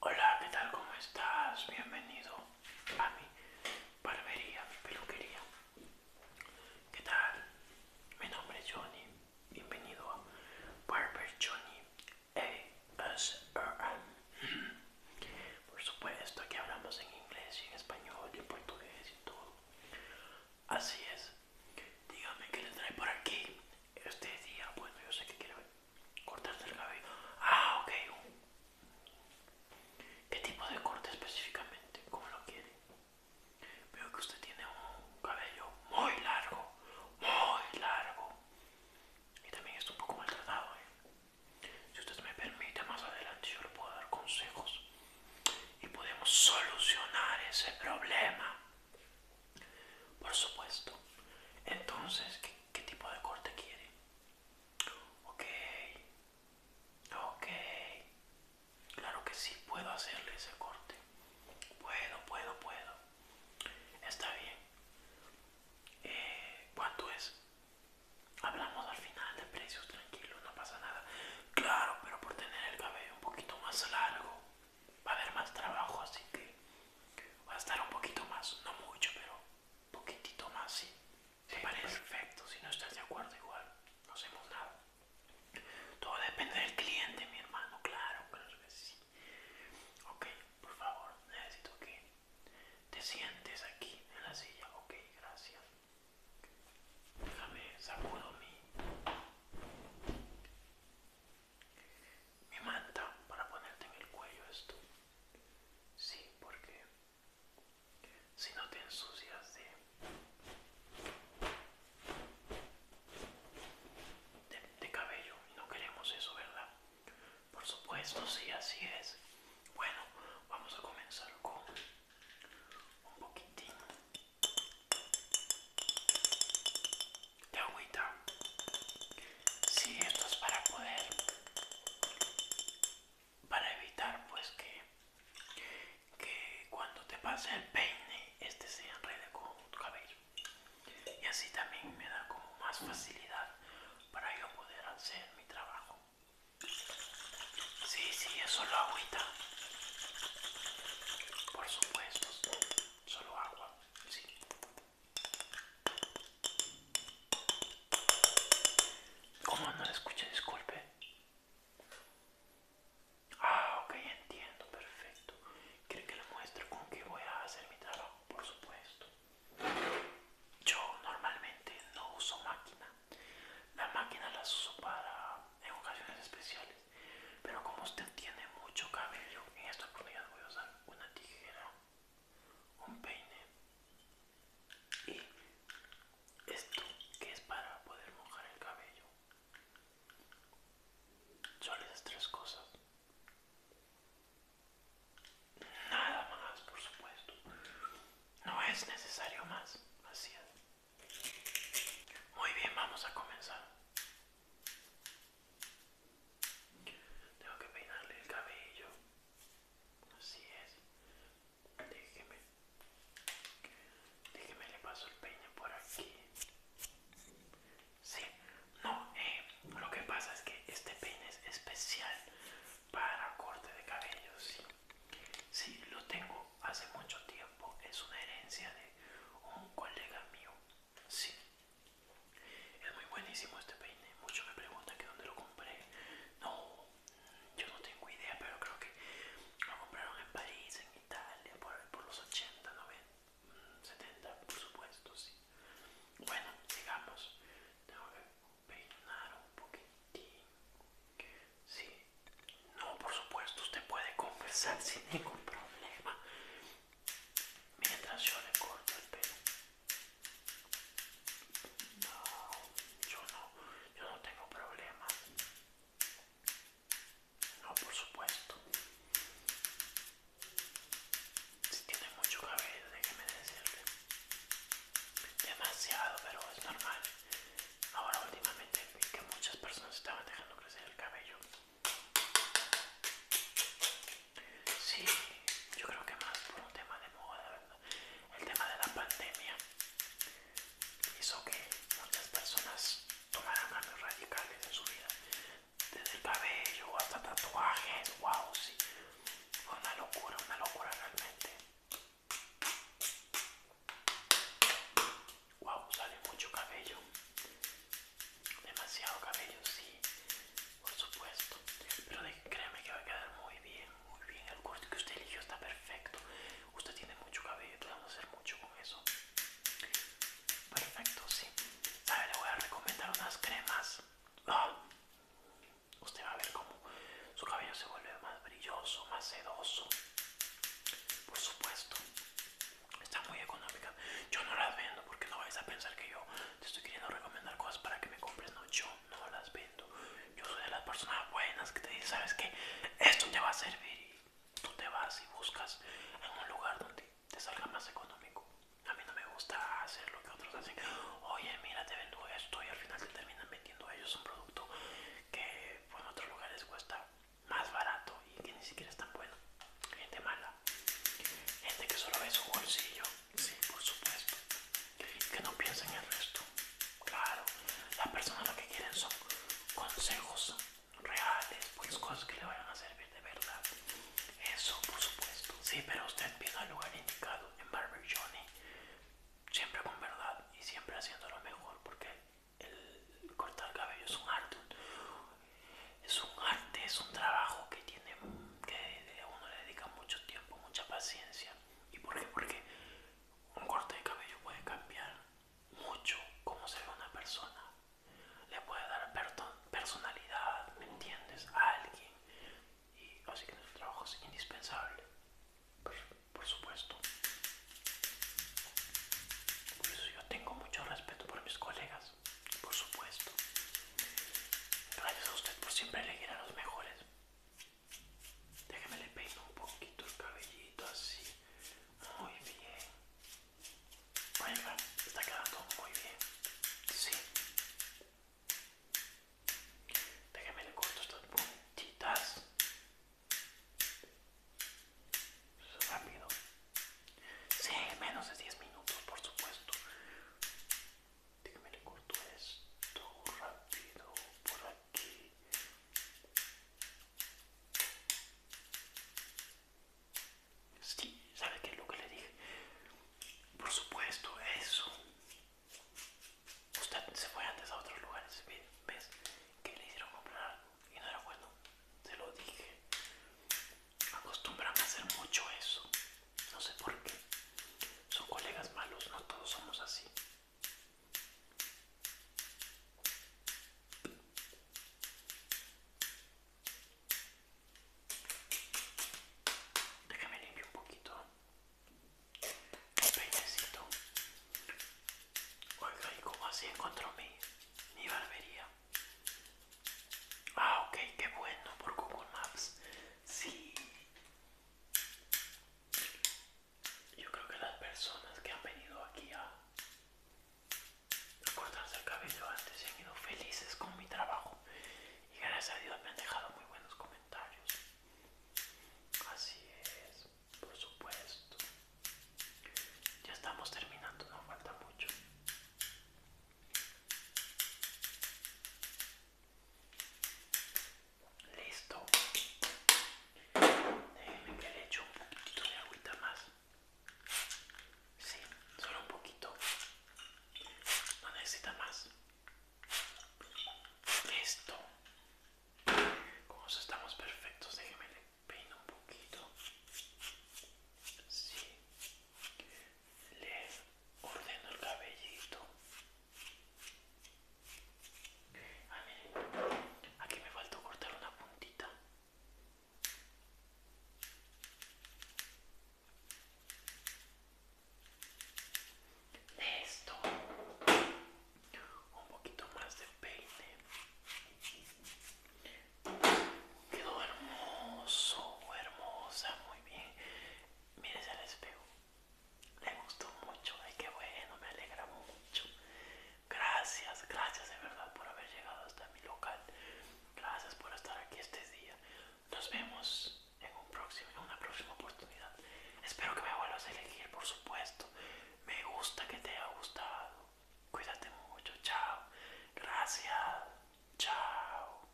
Hola, ¿qué tal? ¿Cómo estás? Bienvenido a mi barbería, mi peluquería. ¿Qué tal? Mi nombre es Johnny. Bienvenido a Barber Johnny ASRM. Por supuesto, aquí hablamos en inglés y en español y en portugués y todo. Así es. Dígame qué les trae por aquí. Este día, bueno, yo sé que quiere cortarse el cabello. Ah, ok. ¿Qué tipo de corte específicamente? ¿Cómo lo quiere? Veo que usted tiene un cabello muy largo, muy largo. Y también está un poco maltratado. ¿eh? Si usted me permite, más adelante yo le puedo dar consejos. Y podemos solucionar ese problema. Por supuesto. Entonces, ¿qué, tipo de corte quiere? Ok. Ok. Claro que sí, puedo hacerle ese corte. Puedo, puedo, puedo. Está bien. Eh, ¿Cuánto es? Hablamos al final de precios, tranquilo, no pasa nada. Claro, pero por tener el cabello un poquito más largo va a haber más trabajo, así que va a estar un poquito más, no mucho, pero un poquitito más, sí. parece? Perfecto, si no estás de acuerdo igual, no hacemos nada. Todo depende del cliente, mi hermano, claro, claro que sí. Ok, por favor, necesito que te sientes aquí en la silla, ok, gracias. Déjame, sacudo mi manta para ponerte en el cuello esto. Sí, porque si no te ensucias de, de, cabello, no queremos eso, ¿verdad? Por supuesto, sí, así es. Bueno, vamos a comenzar con un poquitín de agüita. Sí, esto es para poder, para evitar pues que, que cuando te pase el peine, este se enrede con tu cabello. Y así también me da como más facilidad para yo poder hacer mi trabajo. Sí, sí, es solo agüita. Por supuesto, solo agua, sí. ¿Cómo no la escuché? Disculpe. Ah, ok, entiendo, perfecto. ¿Quiere que le muestre con qué voy a hacer mi trabajo? Por supuesto. Yo normalmente no uso máquina. La máquina las uso para en ocasiones especiales, pero como usted tiene mucho cabello, en esta oportunidad voy a usar una tijera, un peine y esto que es para poder mojar el cabello. Solo esas tres cosas. Nada más, por supuesto. No es necesario más, así es. Muy bien, vamos a comenzar. Tengo que peinarle el cabello. Así es. Déjeme. Déjeme, le paso el peine por aquí. Sí, no, eh, lo que pasa es que este peine es especial para corte de cabello, Sí, lo tengo hace mucho tiempo. Es una herencia de un colega mío. Sí. Es muy buenísimo este peine. Muchos me preguntan que dónde lo compré. No, yo no tengo idea, pero creo que lo compraron en París, en Italia, por, por los 80, 90, 70, por supuesto, sí. Bueno, sigamos. Tengo que peinar un poquitín. Sí, no, por supuesto, usted puede conversar sin ningún problema mientras yo le corto el pelo. No, yo no, yo no tengo problema. No, por supuesto. Si tiene mucho cabello, déjeme decirte, Demasiado, pero es normal. Ahora últimamente vi que muchas personas estaban dejando crecer el cabello. Sí, yo creo que más por un tema de moda, ¿verdad? El tema de la pandemia hizo que muchas personas tomaran cambios radicales en su vida. Desde el cabello hasta tatuajes, wow, sí. Oh, una locura, una locura realmente. Wow, sale mucho cabello. Demasiado cabello, sí, por supuesto. Pero de, créeme que va a quedar muy bien, muy bien. El corte que usted eligió está perfecto. Usted tiene mucho cabello, vamos a hacer mucho con eso. Perfecto, sí. ver, Le voy a recomendar unas cremas. Ah, Usted va a ver como su cabello se vuelve más brilloso, más sedoso. Por supuesto, está muy económica. Yo no las vendo porque no vais a pensar que yo te estoy queriendo recomendar cosas para que me compres. No, yo no las vendo. Yo soy de las personas buenas que te dicen, ¿sabes que Esto te va a servir y tú te vas y buscas en un lugar donde te salga más económico. A mí no me gusta hacer lo que otros hacen. Oye, mira, te vendo esto y al final te terminan vendiendo a ellos un producto que en otros lugares cuesta más barato y que ni siquiera es tan bueno. Gente mala. Gente que solo ve su bolsillo. Sí, por supuesto. Que no piensa en el resto. Claro, las personas lo que quieren son consejos reales, pues cosas que le vayan a servir de verdad, Eso, por supuesto. Sí, pero usted piensa al lugar indicado, en Barber Johnny. Siempre con verdad y siempre haciendo lo mejor, porque el cortar cabello es un arte. Es un arte, es un trabajo que tiene que uno le dedica mucho tiempo, mucha paciencia. ¿Y por qué? Porque un corte de cabello puede cambiar mucho cómo se ve una persona le puede dar personalidad, ¿me entiendes? A alguien. Y así que nuestro trabajo es indispensable. Por, por supuesto. Por eso yo tengo mucho respeto por mis colegas. Por supuesto. Gracias a usted por siempre elegir a los mejores. Déjeme le peino un poquito el cabellito así. Muy bien. Venga, está quedando muy bien. Sí. Déjame le corto estas puntitas. Rápido. Sí, menos de 10 minutos, por supuesto. Déjame le corto esto rápido por aquí. Sí, ¿sabe qué es lo que le dije? Por supuesto, eso. Usted se fue antes a otros lugares, ¿ves? Que le hicieron comprar algo y no era bueno. Se lo dije. Acostumbran a hacer mucho eso. No sé por qué. Son colegas malos, no todos somos así. Déjame limpiar un poquito el peinecito. Oiga, ¿y cómo así encontró mi, barbería? Ah, ok, qué bueno, por Google Maps. Sí yo creo que las personas que han venido aquí a, cortarse el cabello antes se han ido felices con mi trabajo y gracias a Dios me han dejado muy buenos comentarios. Así es, por supuesto. Ya estamos terminando, no falta mucho. Listo. Déjenme que le echo un poquito de agüita más. Sí, solo un poquito. No necesita más. Listo. como estamos perfectos. Déjenme le peino un poquito. Sí. Le ordeno el cabellito. Aquí me faltó cortar una puntita. Esto. Un poquito más de peine. Quedó hermoso, hermosa, muy bien. se el espejo. Le gustó mucho, ay qué bueno, me alegra mucho. Gracias, gracias de verdad por haber llegado hasta mi local. Gracias por estar aquí este día. Nos vemos en, un próximo, en una próxima oportunidad. Espero que me vuelvas a elegir, por supuesto. Me gusta que te haya gustado. Cuídate mucho, chao. Gracias, chao.